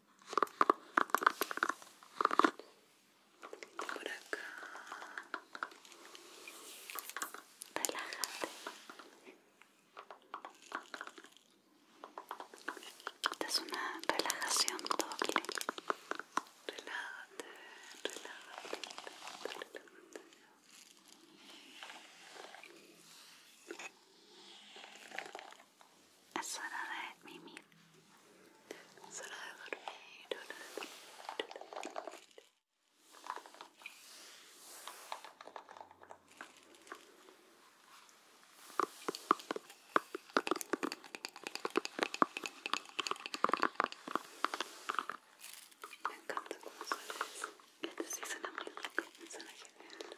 por acá relájate esta es una relajación doble relájate relájate, relájate, relájate. Es hora de mimir. Es hora de dormir, hora de dormir, hora de dormir. Me encanta cómo suena eso. Este sí suena muy rico, suena genial.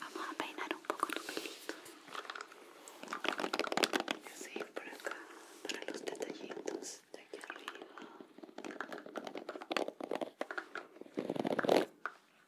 Vamos abainar um pouco do pelito. Assim, por acá, para os detallitos daqui arriba.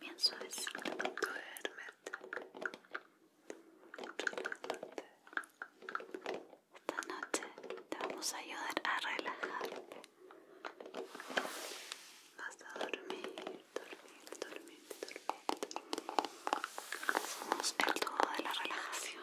Bien suavecito, duérmete. Esta noche te vamos a ayudar a relajarte. Vas a dormir, dormir, dormir, dormir. Somos el todo de la relajación.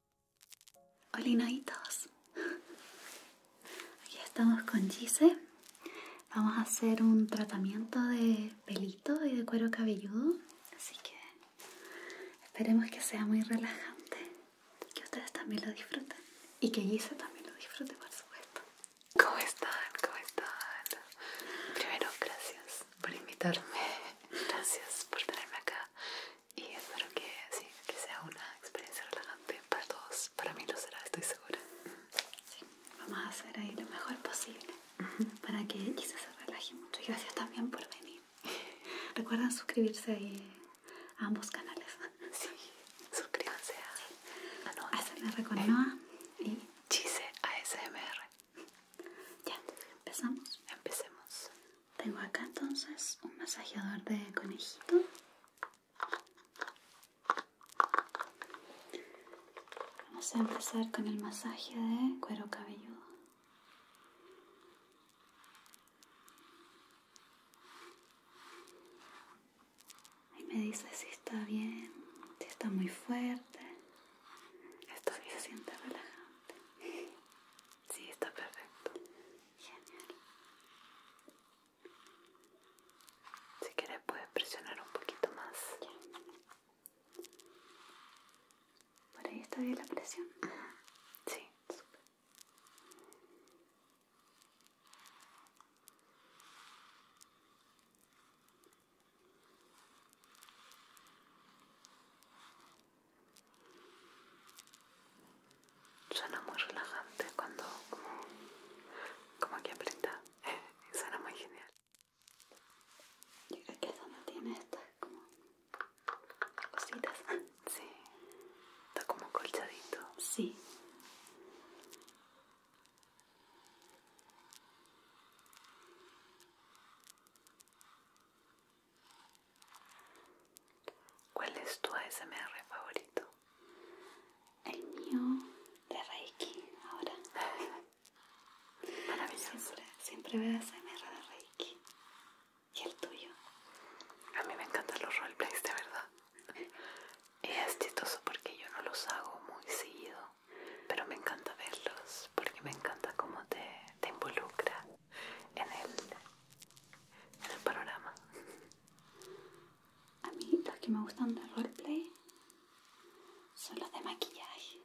Hola Olinaditos. hoy estamos con Gise. Vamos a hacer un tratamiento de pelito y de cuero cabelludo. Así que esperemos que sea muy relajante. Que ustedes también lo disfruten. Y que Gise también lo disfrute, por supuesto. ¿Cómo están? ¿Cómo están? Primero, gracias por invitarme. Gracias por tenerme acá y espero que sí, que sea una experiencia relajante para todos. Para mí lo será, estoy segura. Sí, vamos a hacer ahí lo mejor posible para que se relaje mucho. Y gracias también por venir. recuerdan suscribirse a ambos canales. Sí, suscríbanse a, SMR con Noa y Chise ASMR. Ya, empezamos. Empecemos. Tengo acá entonces un masajeador de conejito. Vamos a empezar con el masaje de cuero cabelludo. Y me dice si está bien, si está muy fuerte. Esto se siente relajante. Sí, está perfecto. Genial. Si quieres puedes presionar un poquito más. ¿Por ahí está bien la presión? Sí. Super. Suena muy relajante cuando como, como que aprieta. suena muy genial. Yo creo que esa no tiene estas como cositas. Sí. Está como colchadito. Sí. ¿Cuál es tu ASMR favorito? El mío de Reiki, ahora. Maravilloso. Siempre, veo ASMR de Reiki. ¿Y el tuyo? A mí me encantan los roleplays, de verdad. es chistoso porque yo no los hago muy seguido, pero me encanta verlos porque me encanta cómo te, te involucra en el, en el panorama. A mí los que me gustan de roleplay son los de maquillaje.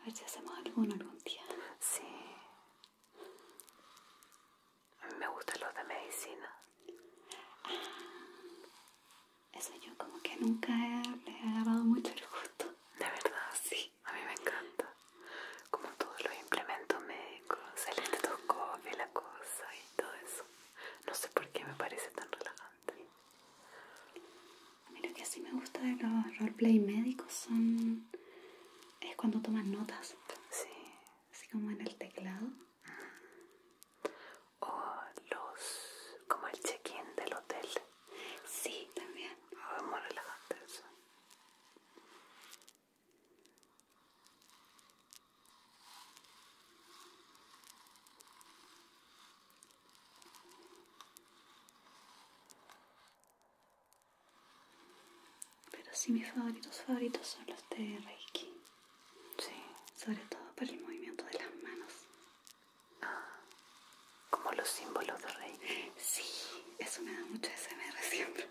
A ver si hacemos alguno algún día. Sí. A mí me gustan los de medicina. Ah, eso yo como que nunca le he agarrado mucho el gusto. De verdad, sí. A mí me encanta. Como todos los implementos médicos, el estetoscopio, la cosa y todo eso. No sé por qué me parece tan relajante. A mí lo que sí me gusta de los roleplay médicos son... es cuando toman notas. Sí. Así como en el teclado. O los... como el check-in del hotel. Sí, también. Oh, es muy relajante eso. Pero sí, mis favoritos favoritos son los de Reiki. Sí, sobre todo por el movimiento de las manos. Ah como los símbolos de rey. Sí, eso me da mucha SMR siempre. Sí.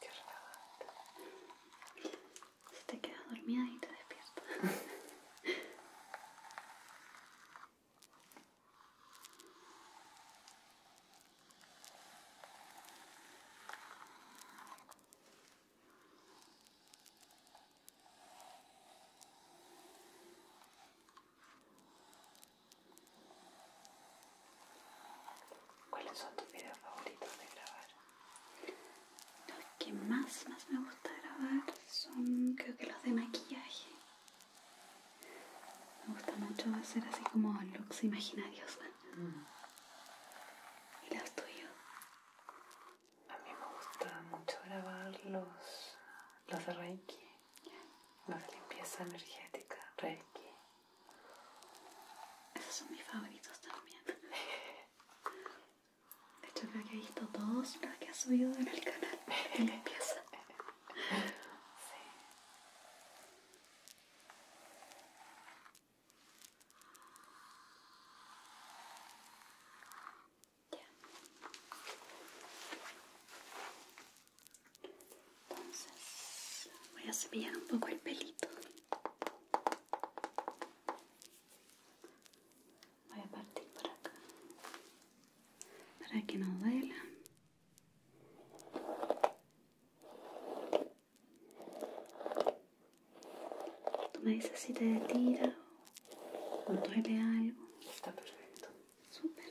Qué Si te quedas dormida y te despiertas. ¿Cuáles son tus videos favoritos de grabar? Los que más, más me gusta grabar son creo que los de maquillaje. Me gusta mucho hacer así como looks imaginarios. mira mm. ¿Y los tuyos? A mí me gusta mucho grabar los, los de Reiki. Los de limpieza energética, Reiki. Esos son mis favoritos también. hecho creo que he visto todos los que has subido en el canal empieza sí. Ya. Entonces voy a cepillar un poco el pelito voy a partir por acá para que no duela tú me dices si te tira o duele algo está perfecto super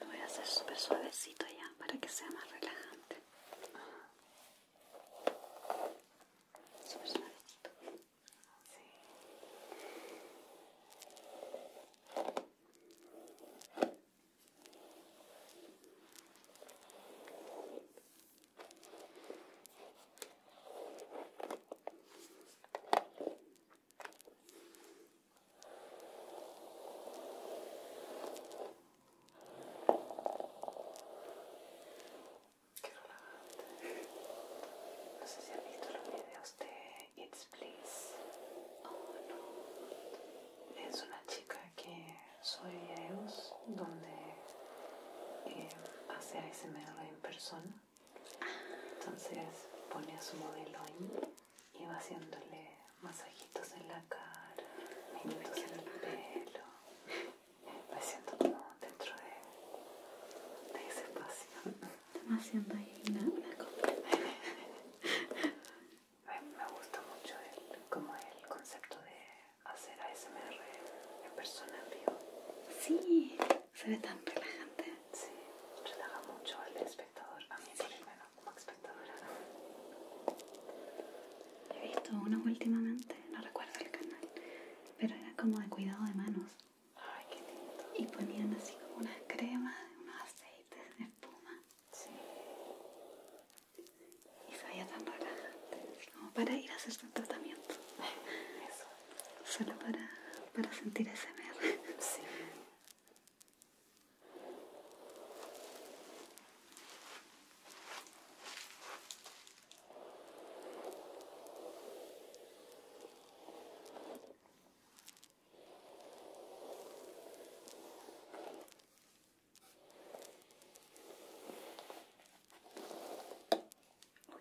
Lo voy a hacer súper suavecito ya para que sea más relajante. Súper suavecito. No sé si han visto los videos de It's Please. Oh no. Es una chica que sube videos donde a eh, hace ASMR en persona entonces pone a su modelo ahí y va haciéndole masajitos en la cara, en el pelo, va haciendo como dentro de, ese espacio. Estamos haciendo ahí una, una Me gusta mucho el, como el concepto de hacer ASMR en persona en vivo. Sí, se ve tan relajante. Sí, relaja mucho al espectador. A mí, sí. como espectadora. He visto uno últimamente, no recuerdo el canal, pero era como de cuidado de manos. Ay, qué lindo. Y ponían así como una crema, unos aceites de espuma. Sí. Y se veía tan relajante, como para ir a hacer su tratamiento. Eso solo para, para sentir ese miedo.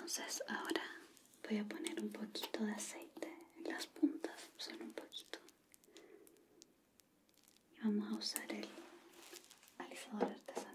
Entonces ahora voy a poner un poquito de aceite en las puntas, solo un poquito. Y vamos a usar el alisador artesanal.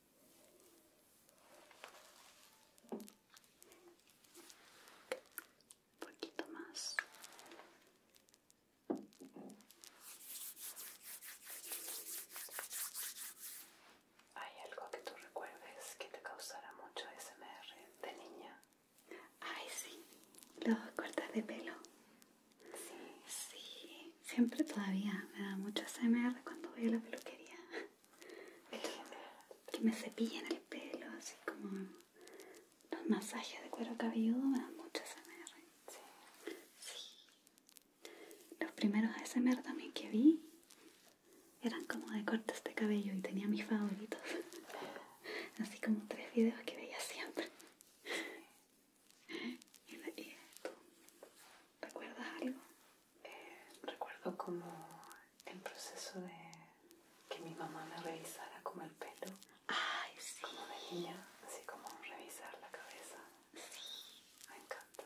Un poquito más. ¿Hay algo que tú recuerdes que te causara mucho SMR de niña? Ay, sí, los cortas de pelo. Sí, sí. Siempre todavía me da mucho SMR cuando voy a la peluquería. que me cepillen el pelo, así como los masajes de cuero cabelludo me dan mucho SMR. Sí. sí. Los primeros SMR también que vi eran como de cortes de cabello y tenía mis favoritos. Así como tres videos que veía siempre. ¿Y, recuerdas algo? Eh, recuerdo como el proceso de que mi mamá me revisara como el pelo. Ay, sí. Como de niña, así como revisar la cabeza. Sí. Me encanta.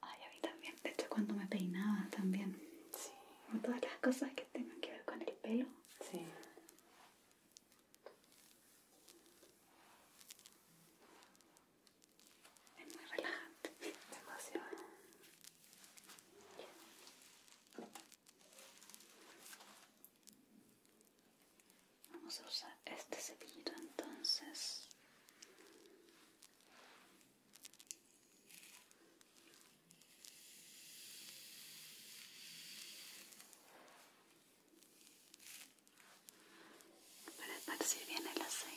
Ay, a mí también. De hecho, cuando me peinaba también. Sí. todas las cosas que tengan que ver con el pelo. Sí. Es muy relajante. pasión, Vamos a usar este cepillo entonces para esparcir bien el aceite.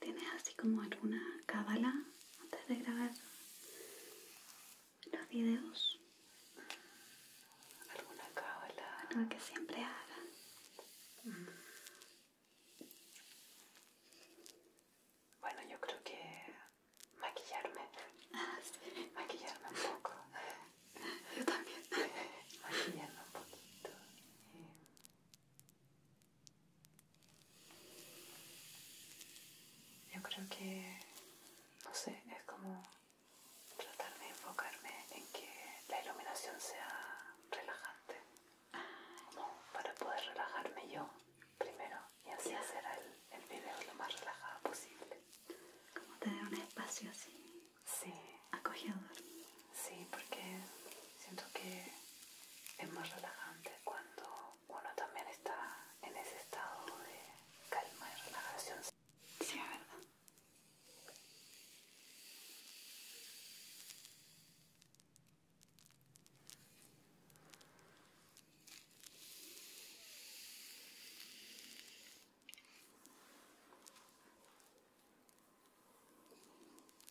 ¿Tienes así como alguna cábala antes de grabar los videos? ¿Alguna cábala? Algo que siempre hagan Bueno, yo creo que maquillarme. Ah, maquillarme un poco. Yo también. Maquillarme un poquito. Eh, yo creo que, no sé, es como tratar de enfocarme en que la iluminación sea relajante, como para poder relajarme yo primero y así hacer el, el video lo más relajado posible. Como tener un espacio así. Acogedor. Sí, porque siento que es más relajante cuando uno también está en ese estado de calma y relajación. Sí, ¿verdad?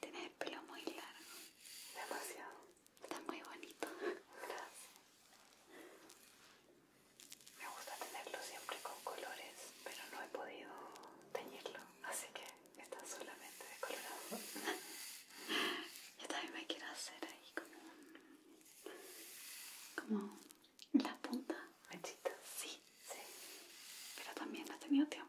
Tienes el pelo muy largo. Demasiado. Está muy bonito. Gracias. Me gusta tenerlo siempre con colores, pero no he podido teñirlo, así que está solamente descolorado Yo también me quiero hacer ahí como como la punta. Mechita. Sí. Sí. Pero también no has tenido tiempo.